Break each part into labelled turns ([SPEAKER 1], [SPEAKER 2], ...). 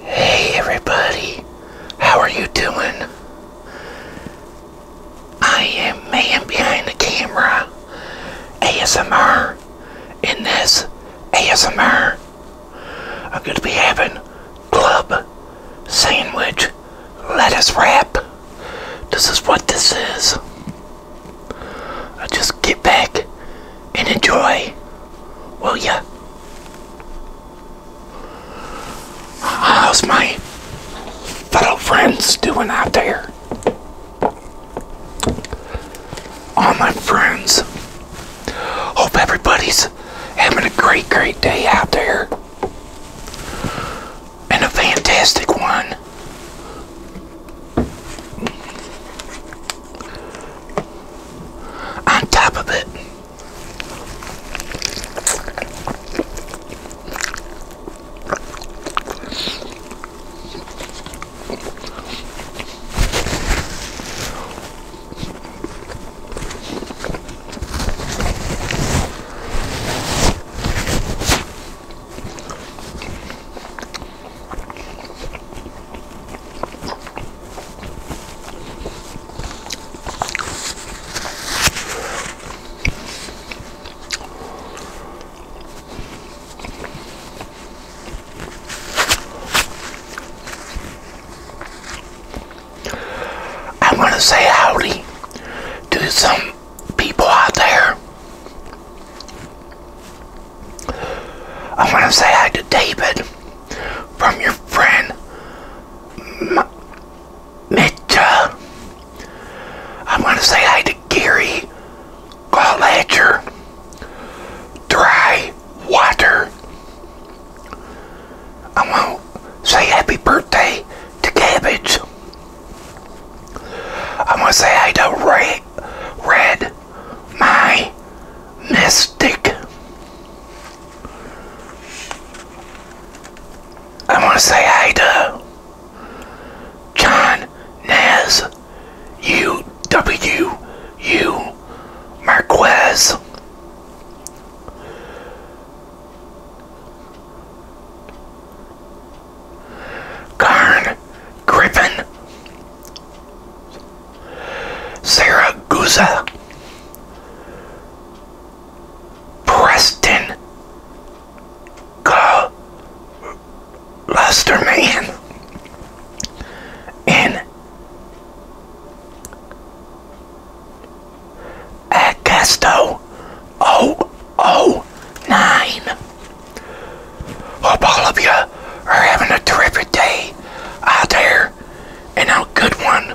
[SPEAKER 1] Hey everybody, how are you doing? I am man behind the camera, ASMR, in this ASMR. I'm going to be having club sandwich lettuce wrap. This is what this is. I'll uh, just get back and enjoy, will ya? How's my fellow friends doing out there? All my friends, hope everybody's having a great, great day out there and a fantastic one on top of it. I am going to say howdy to some people out there I want to say hi to David from your friend M Mitcha. I want to say hi to Gary Gallagher. Dry water. I want to say happy birthday to Cabbage. I'm gonna say I don't read my mystic. I want to say hi to John Nez, U W U Marquez. Karn Griffin, Sarah Guza, Preston Lusterman, and Acasto. Oh, oh, nine. Hope all of you are having a terrific day out there and a good one.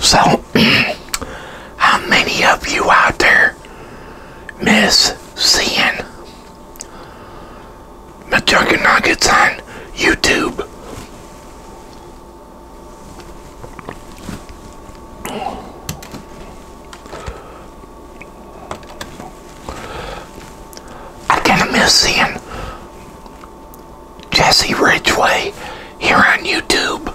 [SPEAKER 1] So, how many of you out there miss seeing Majunga Nuggets on YouTube? I kind of miss seeing Jesse Ridgeway here on YouTube.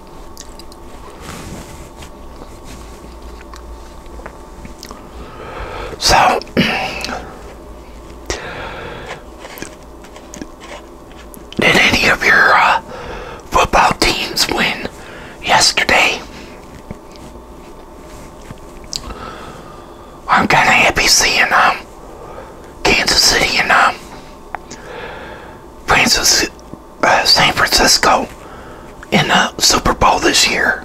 [SPEAKER 1] So, did any of your uh, football teams win yesterday? I'm kind of happy seeing um, Kansas City and um, Francis, uh, San Francisco in the Super Bowl this year.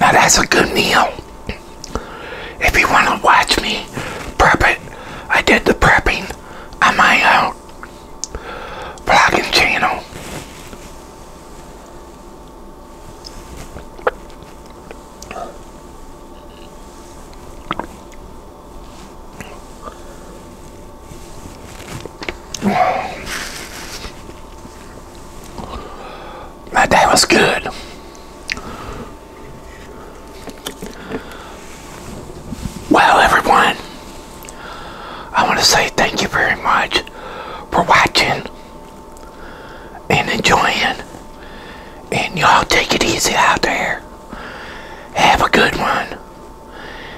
[SPEAKER 1] Now that's a good meal. If you want to watch me prep it, I did the prepping on my own vlogging channel. My day was good. Well, everyone. I want to say thank you very much for watching and enjoying. And y'all take it easy out there. Have a good one.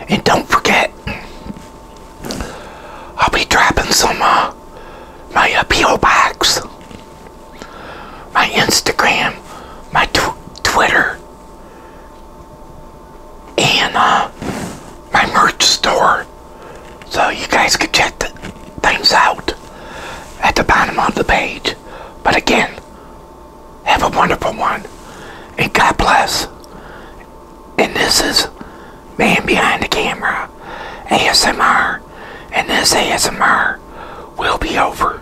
[SPEAKER 1] And don't forget, I'll be dropping some uh, my appeal uh, box, my Instagram, my Twitter and uh, my merch store. So you guys can check the things out at the bottom of the page. But again, have a wonderful one. And God bless. And this is Man Behind the Camera ASMR. And this ASMR will be over.